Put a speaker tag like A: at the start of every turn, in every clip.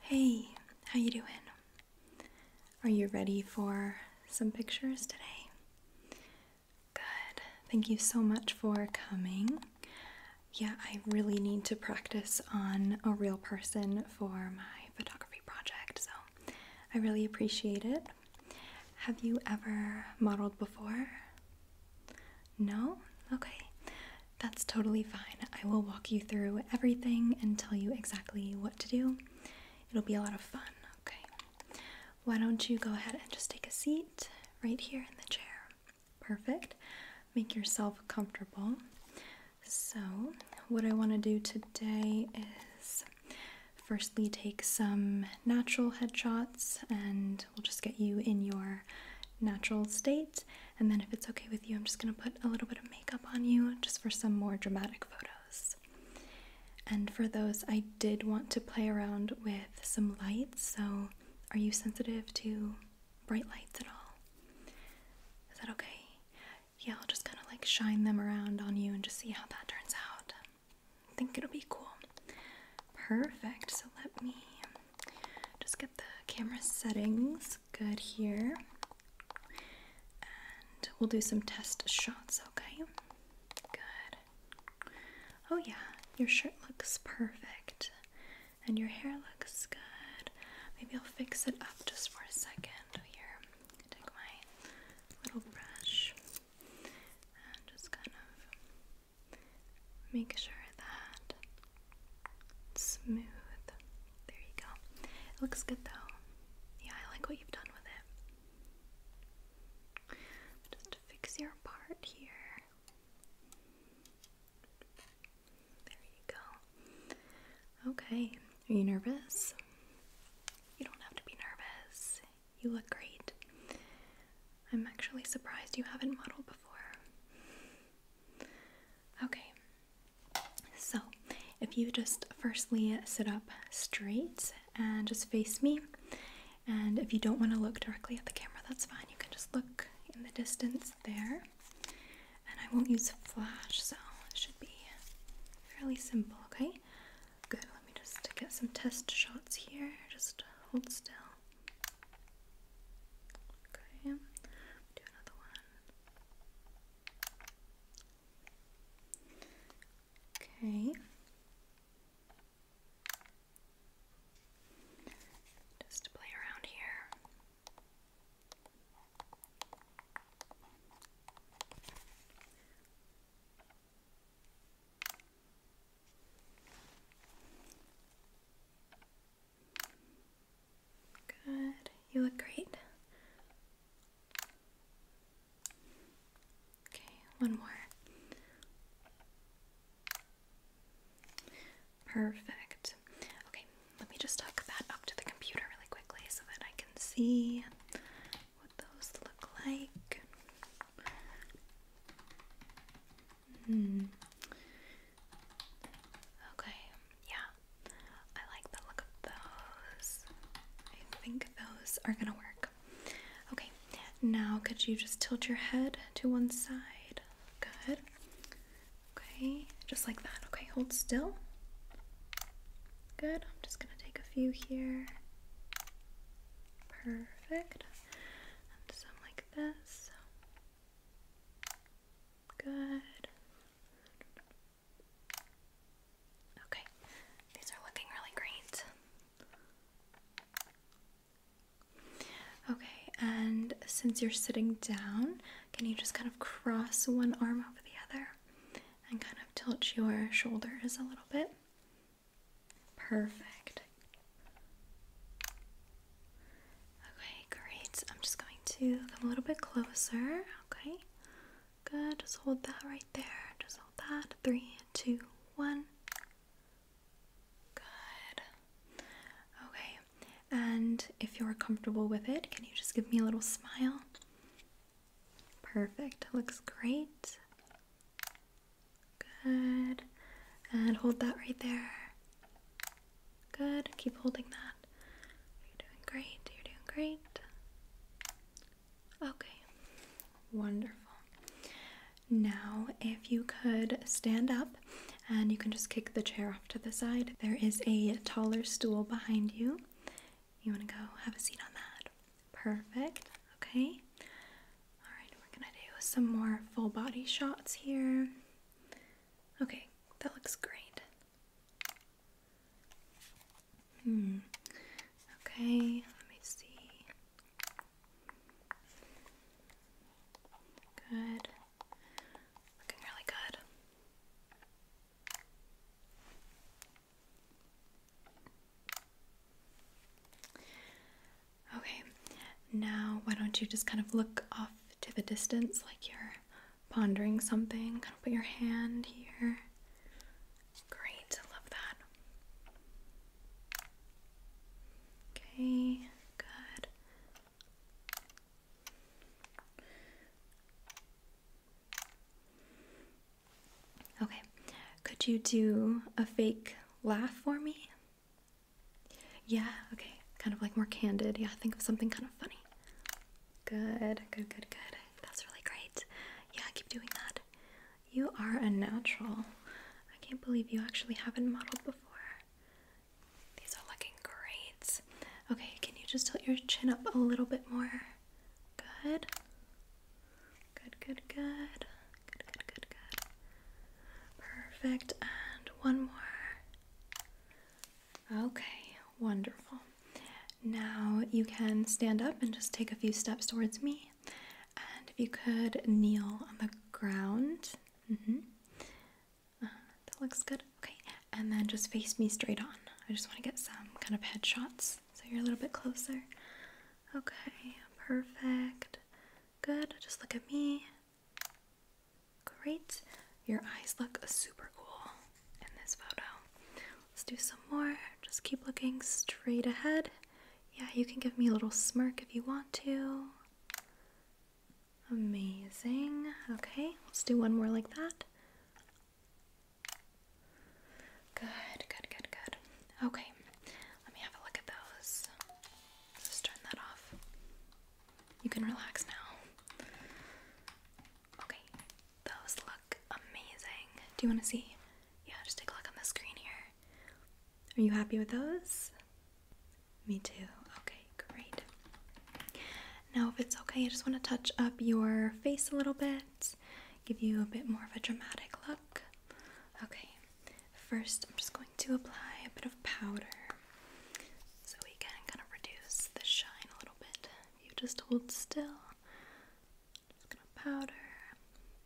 A: Hey, how you doing? Are you ready for some pictures today? Good. Thank you so much for coming. Yeah, I really need to practice on a real person for my photography project, so I really appreciate it. Have you ever modeled before? No? Okay. That's totally fine. I will walk you through everything and tell you exactly what to do. It'll be a lot of fun. Okay. Why don't you go ahead and just take a seat right here in the chair? Perfect. Make yourself comfortable. So, what I want to do today is firstly take some natural headshots and we'll just get you in your natural state. And then, if it's okay with you, I'm just going to put a little bit of makeup on you just for some more dramatic photos. And for those, I did want to play around with some lights. So, are you sensitive to bright lights at all? Is that okay? yeah, I'll just kind of like shine them around on you and just see how that turns out. I think it'll be cool. Perfect. So let me just get the camera settings good here. And we'll do some test shots, okay? Good. Oh, yeah, your shirt looks perfect. And your hair looks good. Maybe I'll fix it up just for a second here take my little brush and just kind of make sure that smooth. There you go. It looks good though. Yeah, I like what you've done with it. Just fix your part here. There you go. Okay, are you nervous? You don't have to be nervous. You look great. I'm actually surprised you haven't modeled before. Okay, so if you just firstly sit up straight and just face me, and if you don't want to look directly at the camera, that's fine. You can just look in the distance there. And I won't use flash, so it should be fairly simple, okay? Good, let me just get some test shots here. Just hold still. Okay, do another one. Okay. Just play around here. Good. You look great. Okay, one more. Perfect. Okay, let me just hook that up to the computer really quickly so that I can see what those look like. Hmm. Okay, yeah. I like the look of those. I think those are gonna work. Okay, now could you just tilt your head to one side? Good. Okay, just like that. Okay, hold still. Good. I'm just gonna take a few here. Perfect. And some like this. Good. Okay, these are looking really great. Okay, and since you're sitting down, can you just kind of cross one arm over the other and kind of tilt your shoulders a little bit? Perfect. Okay, great. I'm just going to come a little bit closer. Okay, good. Just hold that right there. Just hold that. Three, two, one. Good. Okay, and if you're comfortable with it, can you just give me a little smile? Perfect. Looks great. Good. And hold that right there. Good. Keep holding that. You're doing great. You're doing great. Okay. Wonderful. Now, if you could stand up and you can just kick the chair off to the side. There is a taller stool behind you. You want to go have a seat on that? Perfect. Okay. All right, we're going to do some more full body shots here. Okay, that looks great. Hmm. Okay, let me see. Good. Looking really good. Okay, now why don't you just kind of look off to the distance like you're pondering something? Kind of put your hand here. Great, love that. Okay, good. Okay, could you do a fake laugh for me? Yeah, okay, kind of like more candid. Yeah, think of something kind of funny. Good, good, good, good. That's really great. Yeah, keep doing that. You are a natural. I can't believe you actually haven't modeled before. These are looking great. Okay, can you just tilt your chin up a little bit more? Good. Good, good, good. Good, good, good, good. Perfect. And one more. Okay, wonderful. Now you can stand up and just take a few steps towards me. And if you could kneel on the ground. Mm-hmm. Uh, that looks good. Okay. And then just face me straight on. I just want to get some kind of headshots so you're a little bit closer. Okay, perfect. Good. Just look at me. Great. Your eyes look super cool in this photo. Let's do some more. Just keep looking straight ahead. Yeah, you can give me a little smirk if you want to. Amazing. Okay, let's do one more like that. Good, good, good, good. Okay, let me have a look at those. Let's turn that off. You can relax now. Okay, those look amazing. Do you want to see? Yeah, just take a look on the screen here. Are you happy with those? Me too. Okay, great. Now, if it's okay, I just want to touch up your face a little bit give you a bit more of a dramatic look. Okay, first I'm just going to apply a bit of powder so we can kind of reduce the shine a little bit. you just hold still, just gonna powder,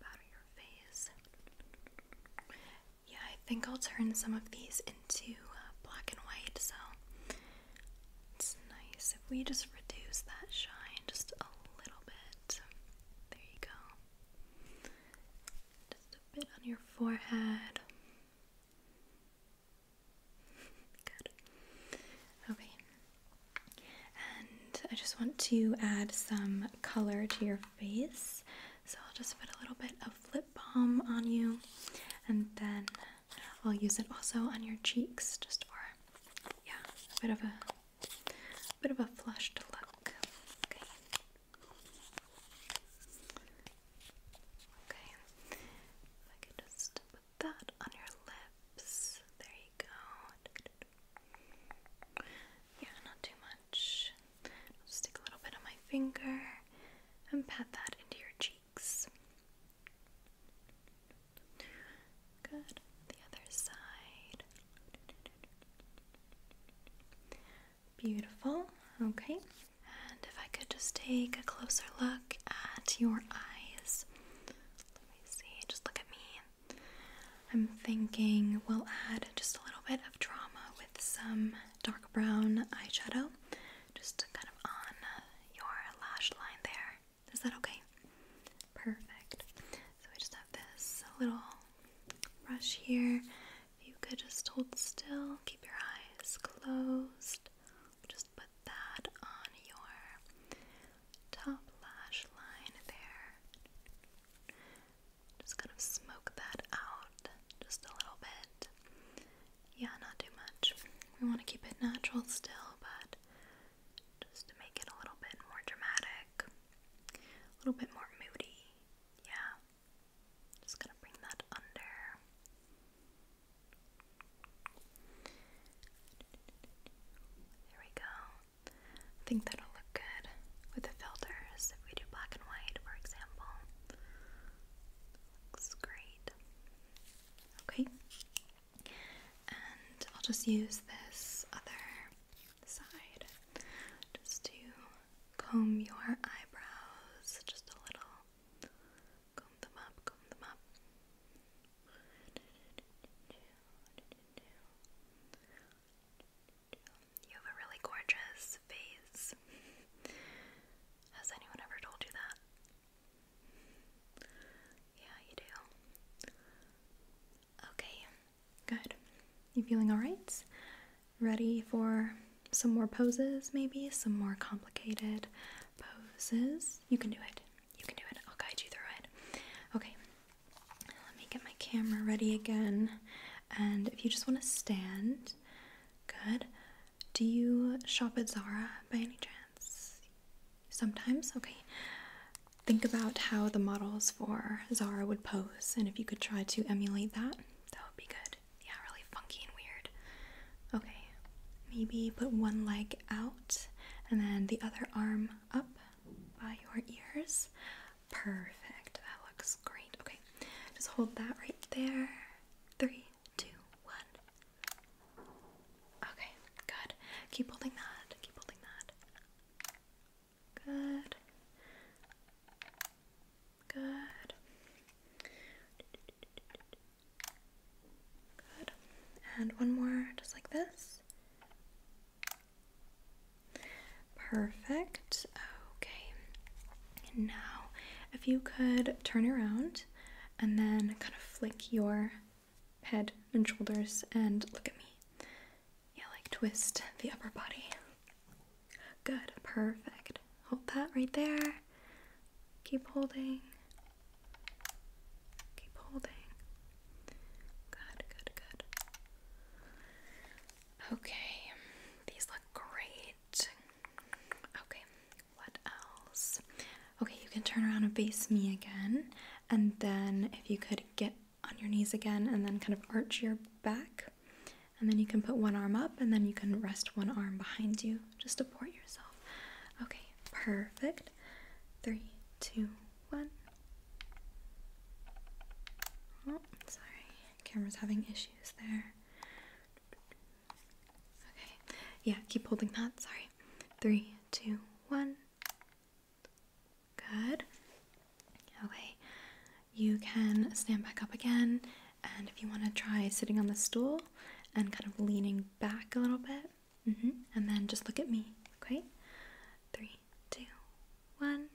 A: powder your face. Yeah, I think I'll turn some of these into uh, black and white, so it's nice if we just reduce that shine just a little bit. There you go. Just a bit on your forehead. Good. Okay. And I just want to add some color to your face. So I'll just put a little bit of lip balm on you and then I'll use it also on your cheeks just for yeah, a bit of a bit of a flushed look. Okay. Okay. If I could just put that on your lips. There you go. Yeah, not too much. i a little bit of my finger and pat that into your cheeks. Good. The other side. Beautiful. Okay. And if I could just take a closer look at your eyes. Let me see. Just look at me. I'm thinking we'll add just a little bit of drama with some dark brown eyeshadow just kind of on your lash line there. Is that okay? Perfect. So we just have this little brush here. If you could just hold still, keep your eyes closed. Just put that on your top lash line there. Just kind of smoke that out just a little bit. Yeah, not too much. We want to keep it natural still, but just to make it a little bit more dramatic, a little bit more moody. Yeah. Just gonna bring that under. There we go. I think that'll look good with the filters if we do black and white, for example. Looks great. Okay. And I'll just use this other side just to comb your eyebrows just a little. Comb them up, comb them up. You have a really gorgeous face. Has anyone ever told you that? Yeah, you do. Okay, Good. You feeling alright? Ready for some more poses, maybe? Some more complicated poses? You can do it. You can do it. I'll guide you through it. Okay. Let me get my camera ready again. And if you just want to stand, good. Do you shop at Zara by any chance? Sometimes? Okay think about how the models for Zara would pose, and if you could try to emulate that, that would be good. Yeah, really funky and weird. Okay, maybe put one leg out and then the other arm up by your ears. Perfect, that looks great. Okay, just hold that right there. Three, two, one. Okay, good. Keep holding that, keep holding that. Good. Good. Good. And one more, just like this. Perfect. Okay. now, if you could turn around and then kind of flick your head and shoulders and look at me. Yeah, like twist the upper body. Good, perfect. Hold that right there. Keep holding. Keep holding. Good, good, good. Okay, these look great. Okay, what else? Okay, you can turn around and face me again. And then if you could get on your knees again and then kind of arch your back. And then you can put one arm up and then you can rest one arm behind you just support yourself. Okay, perfect. Three, two, one. Oh, sorry. Camera's having issues there. Okay. Yeah, keep holding that. Sorry. Three, two, one. Good. Okay, you can stand back up again, and if you want to try sitting on the stool and kind of leaning back a little bit, mm-hmm, and then just look at me, okay? Three, two, one.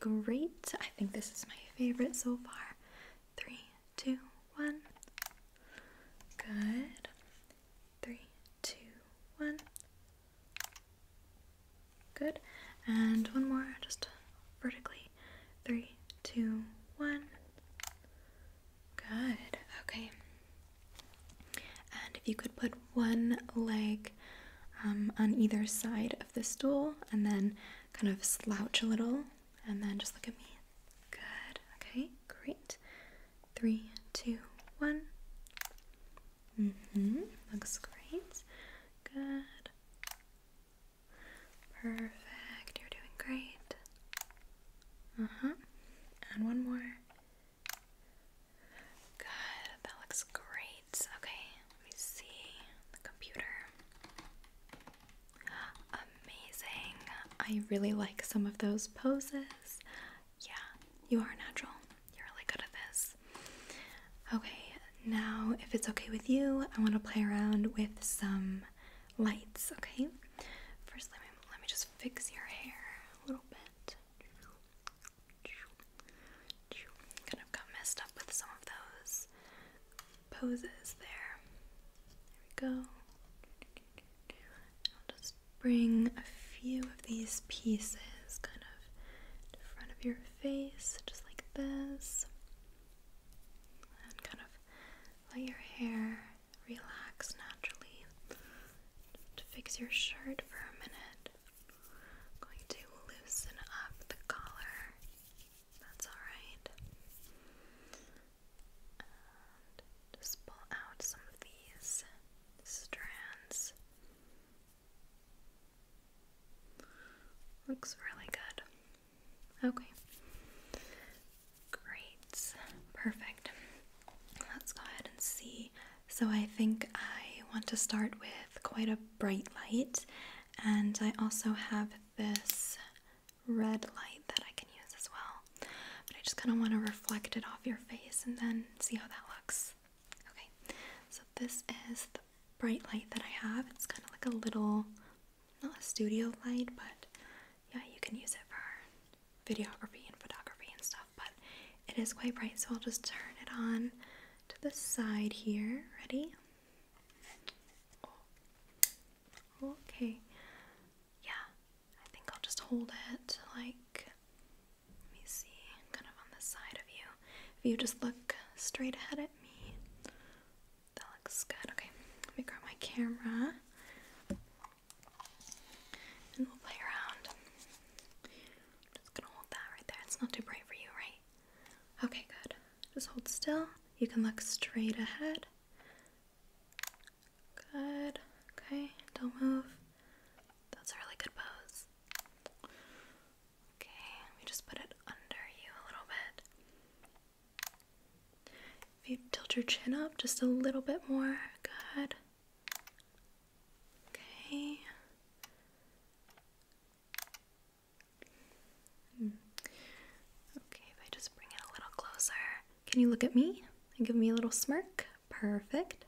A: Great. I think this is my favorite so far. Three, two, one. Good. Three, two, one. Good. And one more, just vertically. Three, two, one. Good. Okay. And if you could put one leg um, on either side of the stool and then kind of slouch a little and then just look at me. Good. Okay, great. Three, two, one. Mm-hmm. Looks great. Good. Perfect. You're doing great. Uh-huh. And one more. Good. That looks great. Okay, let me see the computer. Amazing. I really like some of those poses. Yeah, you are natural. You're really good at this. Okay, now if it's okay with you, I want to play around with some lights, okay? First, let me, let me just fix your hair a little bit. Kind of got messed up with some of those poses there. There we go bring a few of these pieces kind of in front of your face, just like this. And kind of let your hair relax naturally. To fix your shirt for a minute, going to loosen up the collar. That's alright. just pull out some of these strands. Looks really good. Okay. Great. Perfect. Let's go ahead and see. So, I think I want to start with quite a bright light, and I also have this red light that I can use as well. But I just kind of want to reflect it off your face and then see how that looks. Okay, so this is the bright light that I have. It's kind of like a little, not a studio light, but yeah, you can use it for videography and photography and stuff. But it is quite bright, so I'll just turn it on to the side here. Ready? Okay. Yeah, I think I'll just hold it like let me see, kind of on the side of you. If you just look straight ahead at me, that looks good. Okay, let me grab my camera and we'll play around. I'm just gonna hold that right there. It's not too bright for you, right? Okay, good. Just hold still. You can look straight ahead. Good. Okay, don't move. That's a really good pose. Okay, let me just put it under you a little bit. If you tilt your chin up just a little bit more, good. Okay. Hmm. Okay, if I just bring it a little closer. Can you look at me and give me a little smirk? Perfect.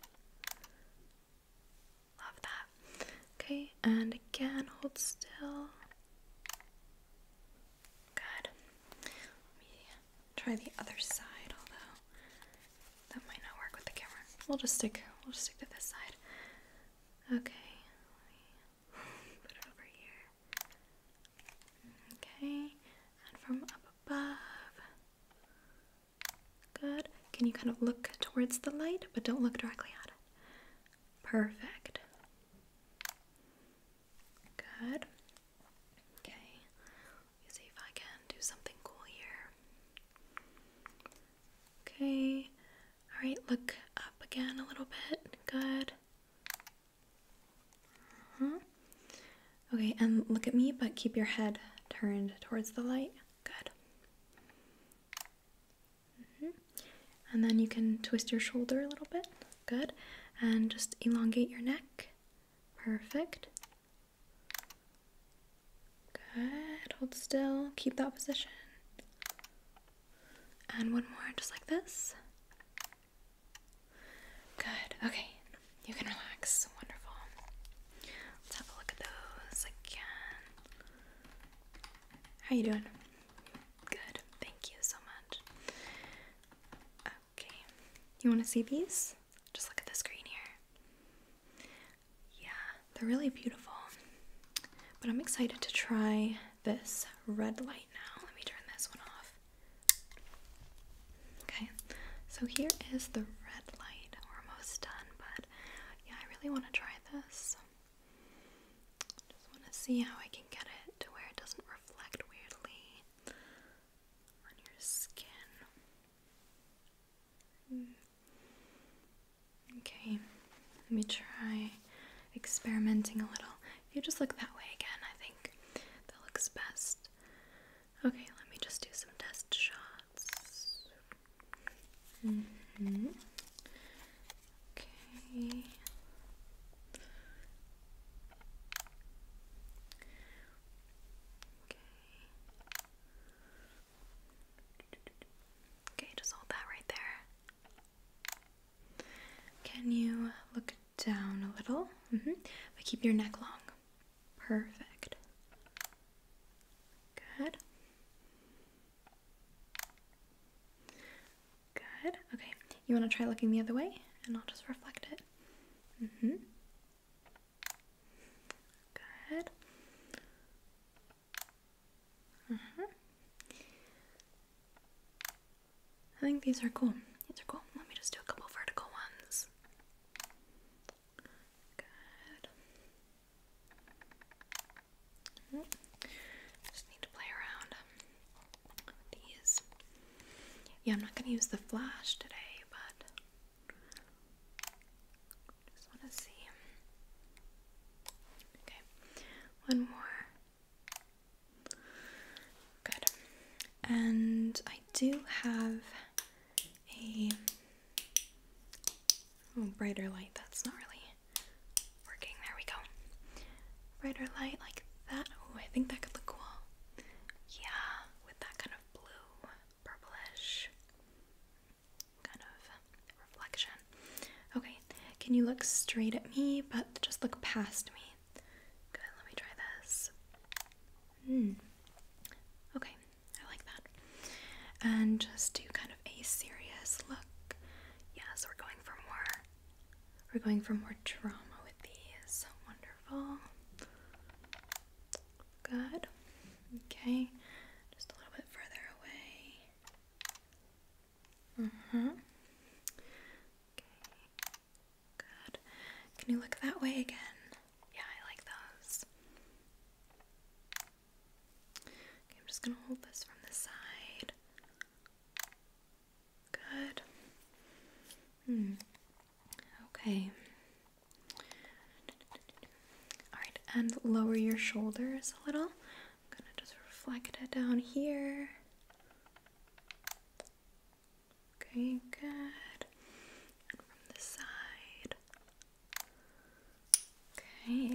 A: Love that. Okay, and again, hold still. Good. Let me try the other side, although that might not work with the camera. We'll just stick. We'll just stick to this side. Okay. put it over here. Okay, and from up above. Good. Can you kind of look towards the light, but don't look directly at it? Perfect. Good. Okay. Let me see if I can do something cool here. Okay. Alright, look up again a little bit. Good. Uh Okay, and look at me, but keep your head turned towards the light. Good. Mm-hmm. And then you can twist your shoulder a little bit. Good. And just elongate your neck. Perfect. Good. Hold still. Keep that position. And one more, just like this. Good. Okay. You can relax. Wonderful. Let's have a look at those again. How you doing? Good. Thank you so much. Okay. You want to see these? Just look at the screen here. Yeah, they're really beautiful. But I'm excited to try this red light now. Let me turn this one off. Okay. So here is the red light. almost done, but yeah, I really want to try this. Just want to see how I can get it to where it doesn't reflect weirdly on your skin. Hmm. Okay, let me try experimenting a little. If you just look that way again, I think that looks best. Okay, let me just do some test shots. Okay. Okay. Okay, just hold that right there. Can you look down a little? Mm -hmm. But keep your neck long. Perfect. Good. Good. Okay. You want to try looking the other way and I'll just reflect it. Mhm. Good. Uh I think these are cool. These are cool. Let me just do a couple vertical ones. Just need to play around these. Yeah, I'm not going to use the flash today, but just want to see. Okay, one more. Good. And I do have a oh, brighter light. That's not really working. There we go. Brighter light like that. Oh, I think that could look cool. Yeah, with that kind of blue, purplish kind of reflection. Okay, can you look straight at me, but just look past me? Good, let me try this. Hmm. Okay, I like that. And just do kind of a serious look. Yes, we're going for more. We're going for more drama with these. Wonderful. Good. Okay. Just a little bit further away. Mm-hmm. Okay. Good. Can you look that way again? Yeah, I like those. I'm just gonna hold this from the side. Good. Hmm. Okay. Alright, and lower your shoulders a little. I'm gonna just reflect it down here. Okay, good. from the side. Okay. I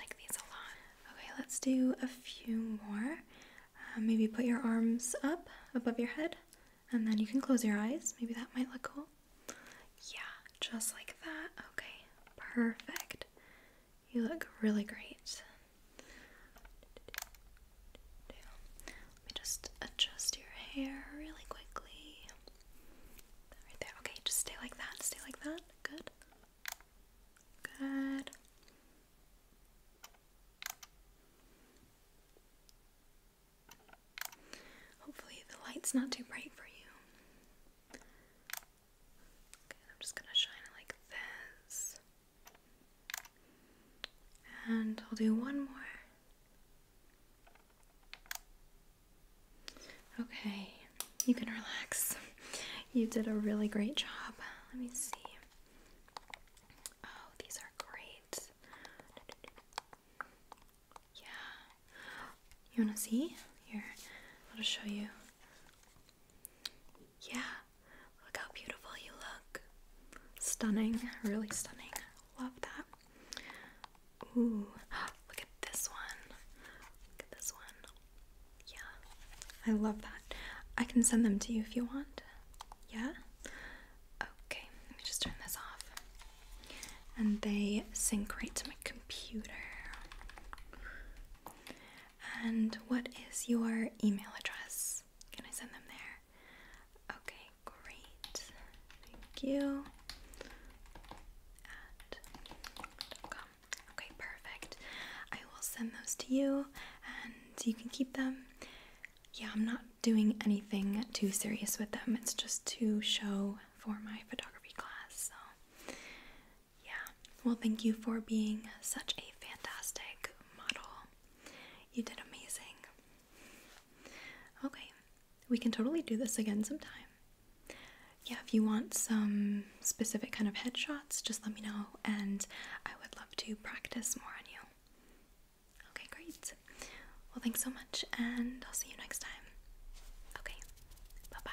A: like these a lot. Okay, let's do a few more. Uh, maybe put your arms up above your head and then you can close your eyes. Maybe that might look cool. Yeah, just like that. Okay, perfect. You look really great. Let me just adjust your hair really quickly. Right there. Okay, just stay like that. Stay like that. Good. Good. Hopefully, the light's not too bright for you. Okay, I'm just gonna shine it like this. And I'll do one more. Okay, you can relax. You did a really great job. Let me see. Oh, these are great. Yeah. You want to see? Here, I'll show you. Yeah, look how beautiful you look. Stunning, really stunning. Love that. Ooh, look at this one. Look at this one. Yeah, I love that. I can send them to you if you want. Yeah? Okay, let me just turn this off. And they sync right to my computer. And what is your email address? Can I send them there? Okay, great. Thank you. At Okay, perfect. I will send those to you and you can keep them. Yeah, I'm not doing anything too serious with them. It's just to show for my photography class. So, yeah. Well, thank you for being such a fantastic model. You did amazing. Okay, we can totally do this again sometime yeah, if you want some specific kind of headshots, just let me know and I would love to practice more on you. Okay, great. Well, thanks so much, and I'll see you next time. Okay, bye bye.